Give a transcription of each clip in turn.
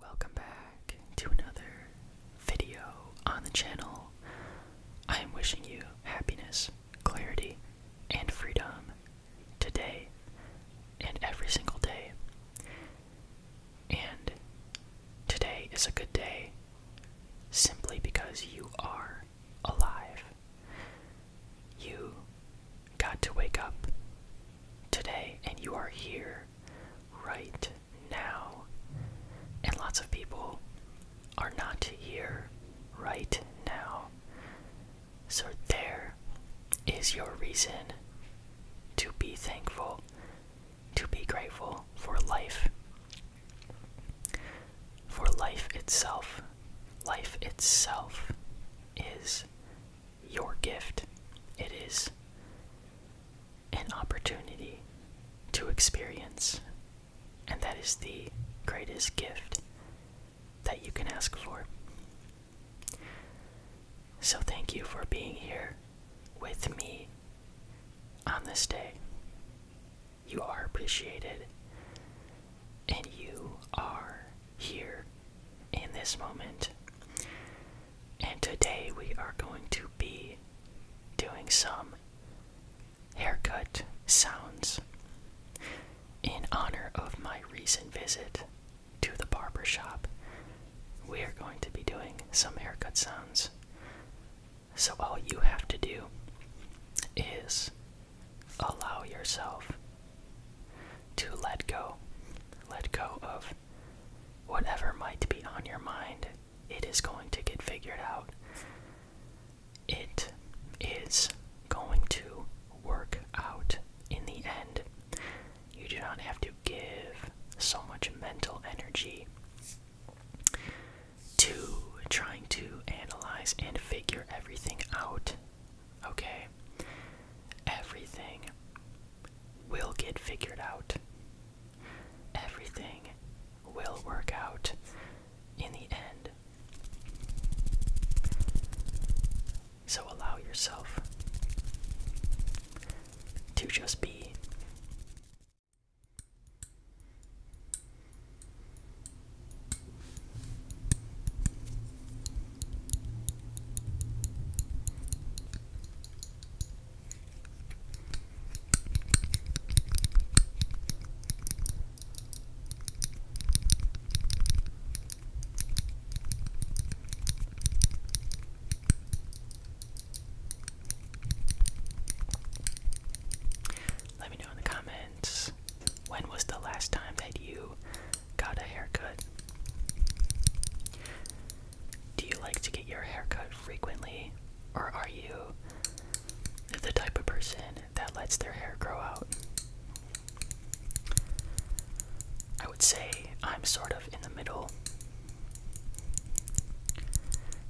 Welcome back to another video on the channel. I am wishing you happiness, clarity, and freedom today and every single day. And today is a good day simply because you are alive. You got to wake up today and you are here right now. And lots of people are not here right now. So, there is your reason to be thankful, to be grateful for life, for life itself. Life itself is your gift. It is an opportunity to experience, and that is the greatest gift that you can ask for. So, thank you for being here with me on this day. You are appreciated, and you are here in this moment. And today we are going to be doing some haircut sounds in honor of my recent visit to the barber shop. We are going to be doing some haircut sounds. So all you have to do is allow yourself to let go. Let go of whatever might be on your mind. It is going to get figured out. It is going to work out in the end. You do not have to give so much mental energy to trying to analyze and figure everything out. Okay? Everything will get figured out. Everything will work out in the end. So allow yourself to just be. Let me know in the comments when was the last time that you got a haircut. Do you like to get your hair cut frequently, or are you the type of person that lets their hair grow out? I would say I'm sort of in the middle.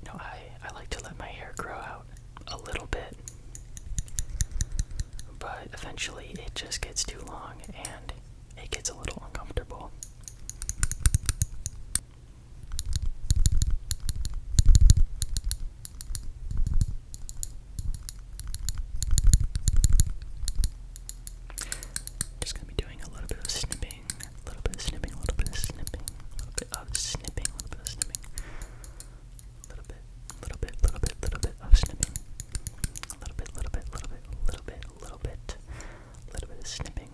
You I, I like to let my hair grow out a little bit, but eventually it just gets too long and it gets a little uncomfortable. Just gonna be doing a little bit of snipping, a little bit of snipping, a little bit of snipping, a bit of snipping, a little bit of snipping, a little bit, little bit, little bit, little bit of snipping. A little bit, little bit, little bit, little bit, little bit, a little bit of snipping.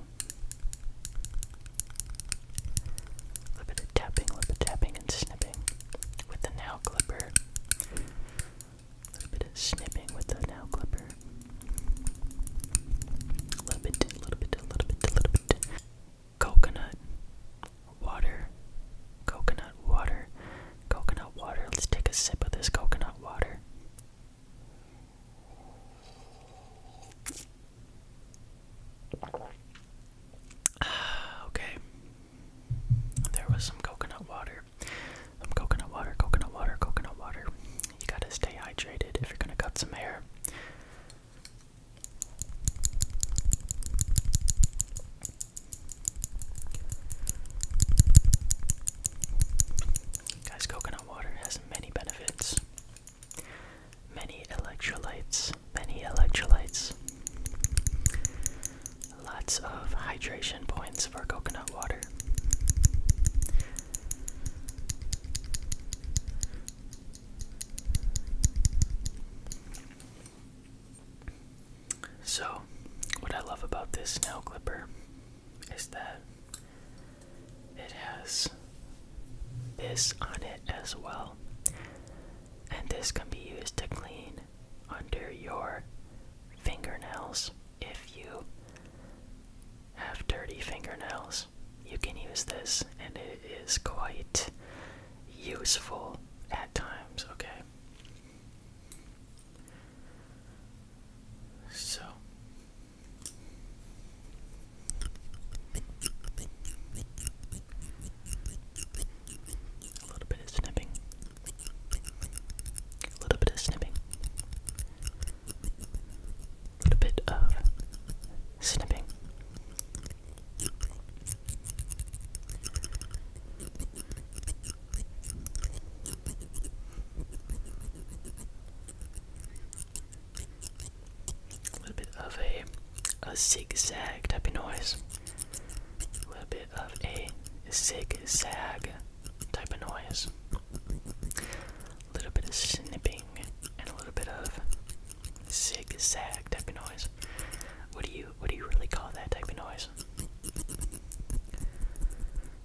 A little bit of tapping, a little bit of tapping and snipping with the nail clipper. A little bit of snipping with the nail clipper. A little bit, a little bit, a little bit, a little bit. Coconut water. Coconut water. Coconut water. Let's take a sip of this coconut water. Ah, okay. There was some coconut water. Some coconut water, coconut water, coconut water. You gotta stay hydrated if you're gonna cut some hair. Guys, coconut water has many benefits. Many electrolytes, many electrolytes. Lots of hydration points for coconut water. So, what I love about this nail clipper is that it has this on it as well. And this can be used to clean under your fingernails if you have dirty fingernails. You can use this, and it is quite useful at times, okay? So a little bit of snipping. A little bit of snipping. A little bit of snipping. A little bit of a, a zigzag type of noise. A little bit of a zigzag type of noise. A little bit of snipping and a little bit of zigzag type of noise. What do you what do you really call that type of noise?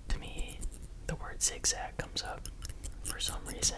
To me, the word zigzag comes up for some reason.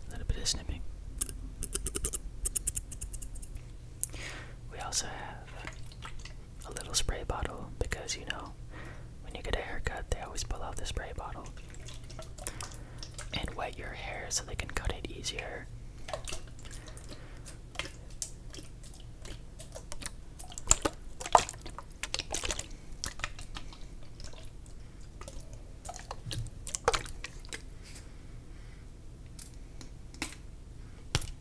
A little bit of snipping. We also have a little spray bottle because you know when you get a haircut they always pull out the spray bottle and wet your hair so they can cut it easier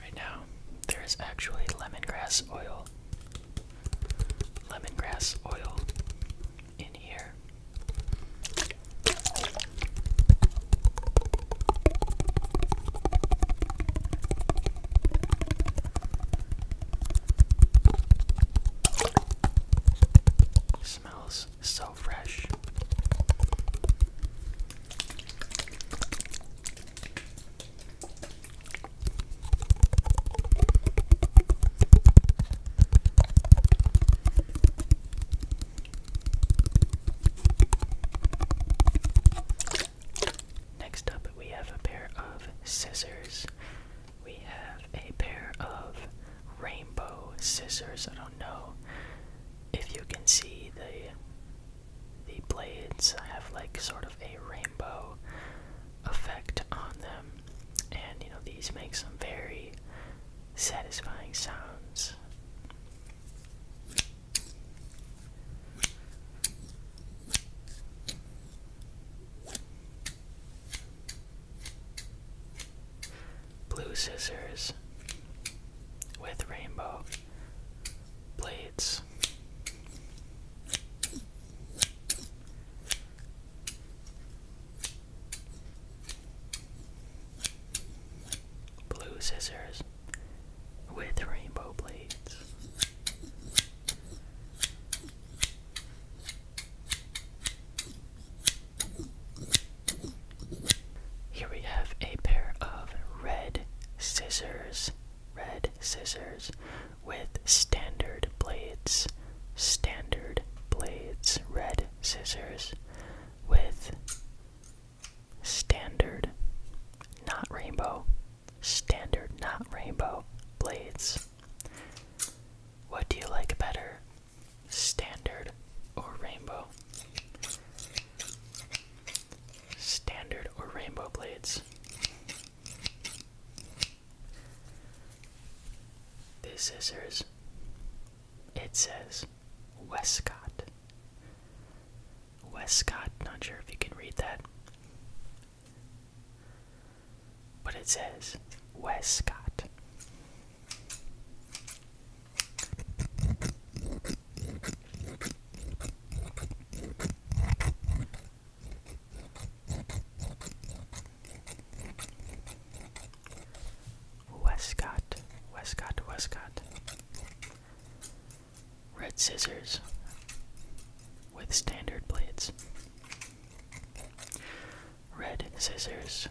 Right now, there is actually lemongrass oil. Lemongrass oil in here smells so fresh. Next up, we have a pair of scissors we have a pair of rainbow scissors. I don't know if you can see the the blades have like sort of a rainbow effect on them. And you know these make some very satisfying sounds. Blue scissors with rainbow blades. Blue scissors with rainbow blades. Here we have a pair of red scissors, red scissors with standard blades, standard blades, red scissors with standard, not rainbow, standard, not rainbow blades. What do you like better, standard or rainbow? Standard or rainbow blades? These scissors, it says Westcott. Westcott, not sure if you can read that. But it says Wes Scott. Westcott, Westcott, Westcott. Red scissors with standard blades red scissors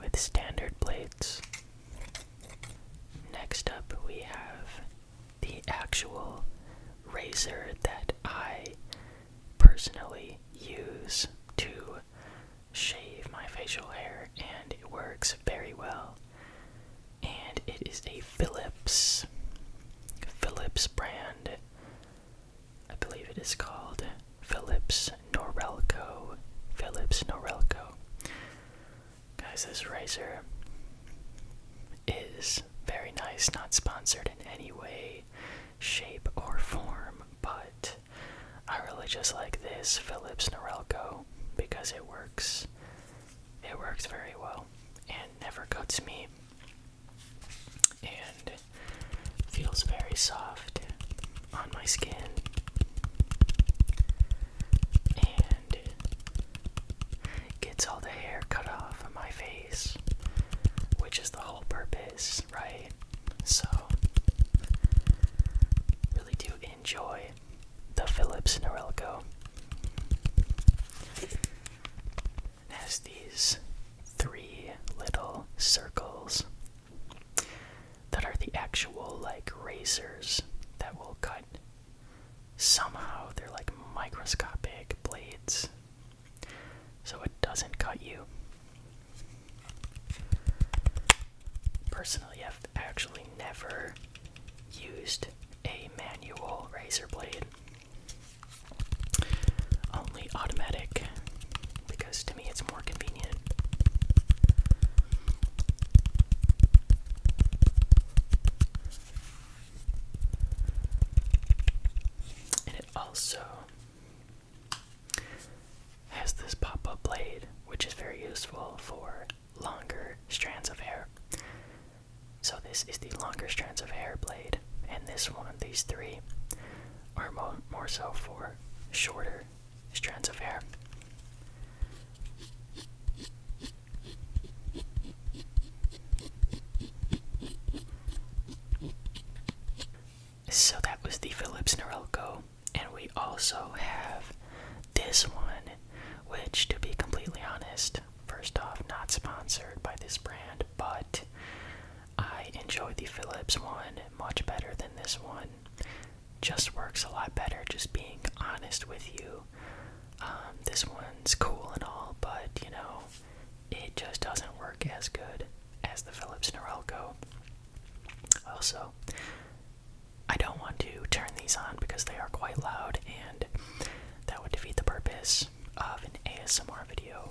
with standard blades. Next up, we have the actual razor that I personally use to shave my facial hair, and it works very well. And it is a Philips Philips brand I believe it is called Phillips Norelco. Phillips Norelco. Guys, this razor is very nice, not sponsored in any way, shape, or form, but I really just like this Phillips Norelco because it works. It works very well and never cuts me and feels very soft on my skin. And gets all the hair cut off of my face, which is the whole purpose, right? So, really do enjoy the Philips Norelco has these three little circles that are the actual like razors that will cut. Somehow they're like microscopic blades, so it doesn't cut you. Personally, I've actually never used a manual razor blade. Only automatic because to me it's more convenient. And it also has this pop up blade, which is very useful for longer strands of hair. So, this is the longer strands of hair blade and this one, these three, are mo more so for shorter strands of hair. So that was the Phillips Norelco, and we also have this one, which, to be completely honest, first off, not sponsored by this brand, but I enjoy the Philips one much better than this one. Just works a lot better, just being honest with you. Um, this one's cool and all, but you know, it just doesn't work as good as the Philips Norelco. Also, I don't want to turn these on because they are quite loud and that would defeat the purpose of an ASMR video.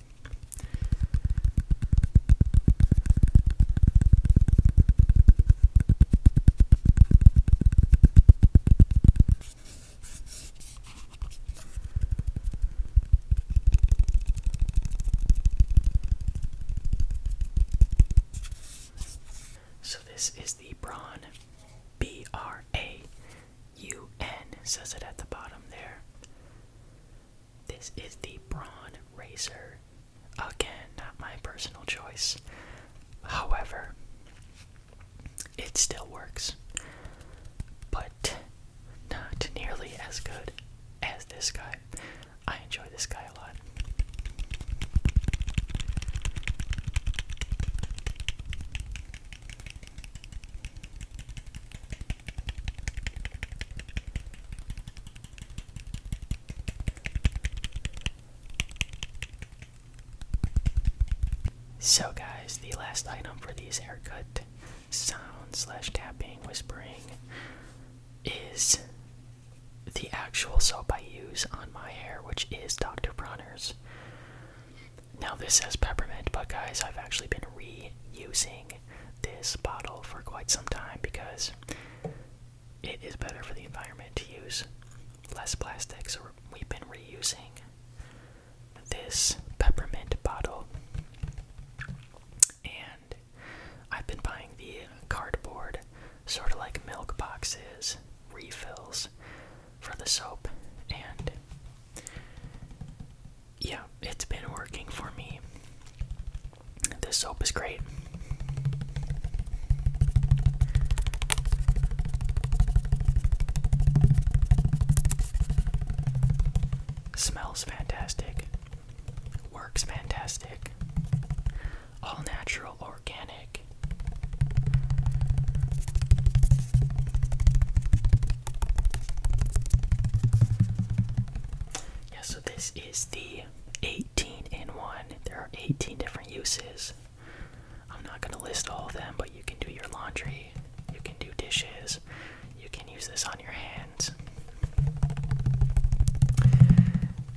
So, this is the Braun B R A UN says it at the bottom there. This is the Braun razor, Again, not my personal choice. However, it still works. But not nearly as good as this guy. I enjoy this guy a lot. So, guys, the last item for these haircut sounds slash tapping, whispering is the actual soap I use on my hair, which is Dr. Bronner's. Now, this says peppermint, but guys, I've actually been reusing this bottle for quite some time because it is better for the environment to use less plastic. So, we've been reusing this peppermint bottle, and I've been buying the cardboard, sort of like milk boxes, refills for the soap, and yeah, it's been working for me. This soap is great. Smells fantastic. Works fantastic. All natural, organic. Yeah, so this is the 18 in 1. There are 18 different uses. I'm not going to list all of them, but you can do your laundry, you can do dishes, you can use this on your hands.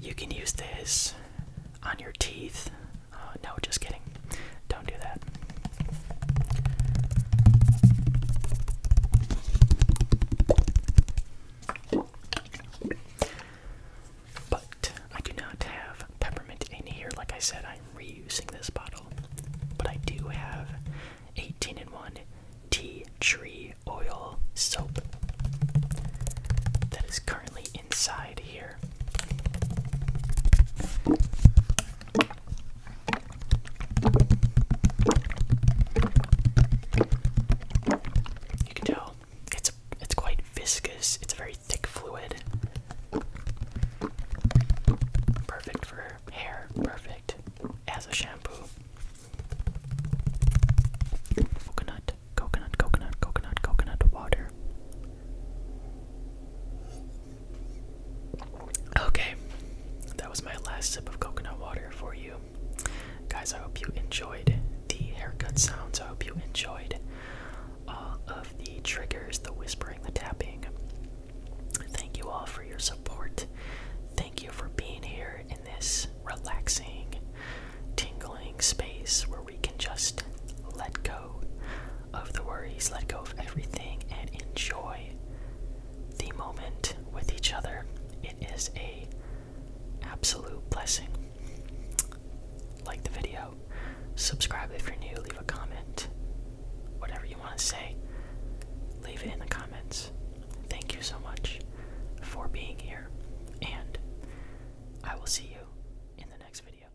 You can use this on your teeth. Uh, no, just kidding don't do that. But I do not have peppermint in here. Like I said, I'm reusing this bottle. But I do have 18 in 1 tea tree oil soap that is currently inside here. You can tell it's it's quite viscous. It's a very thick fluid. Perfect for hair. Perfect as a shampoo. Coconut, coconut, coconut, coconut, coconut water. Okay, that was my last sip of coconut water for you. Guys, I hope you enjoyed the haircut sounds. I hope you enjoyed all of the triggers, the whispering, the tapping. Thank you all for your support. Thank you for being here in this relaxing, tingling space where we can just let go of the worries, let go of everything, and enjoy the moment with each other. It is a absolute blessing. Like the video, subscribe if you're new, leave a comment, whatever you want to say, leave it in the comments. Thank you so much for being here, and I will see you in the next video.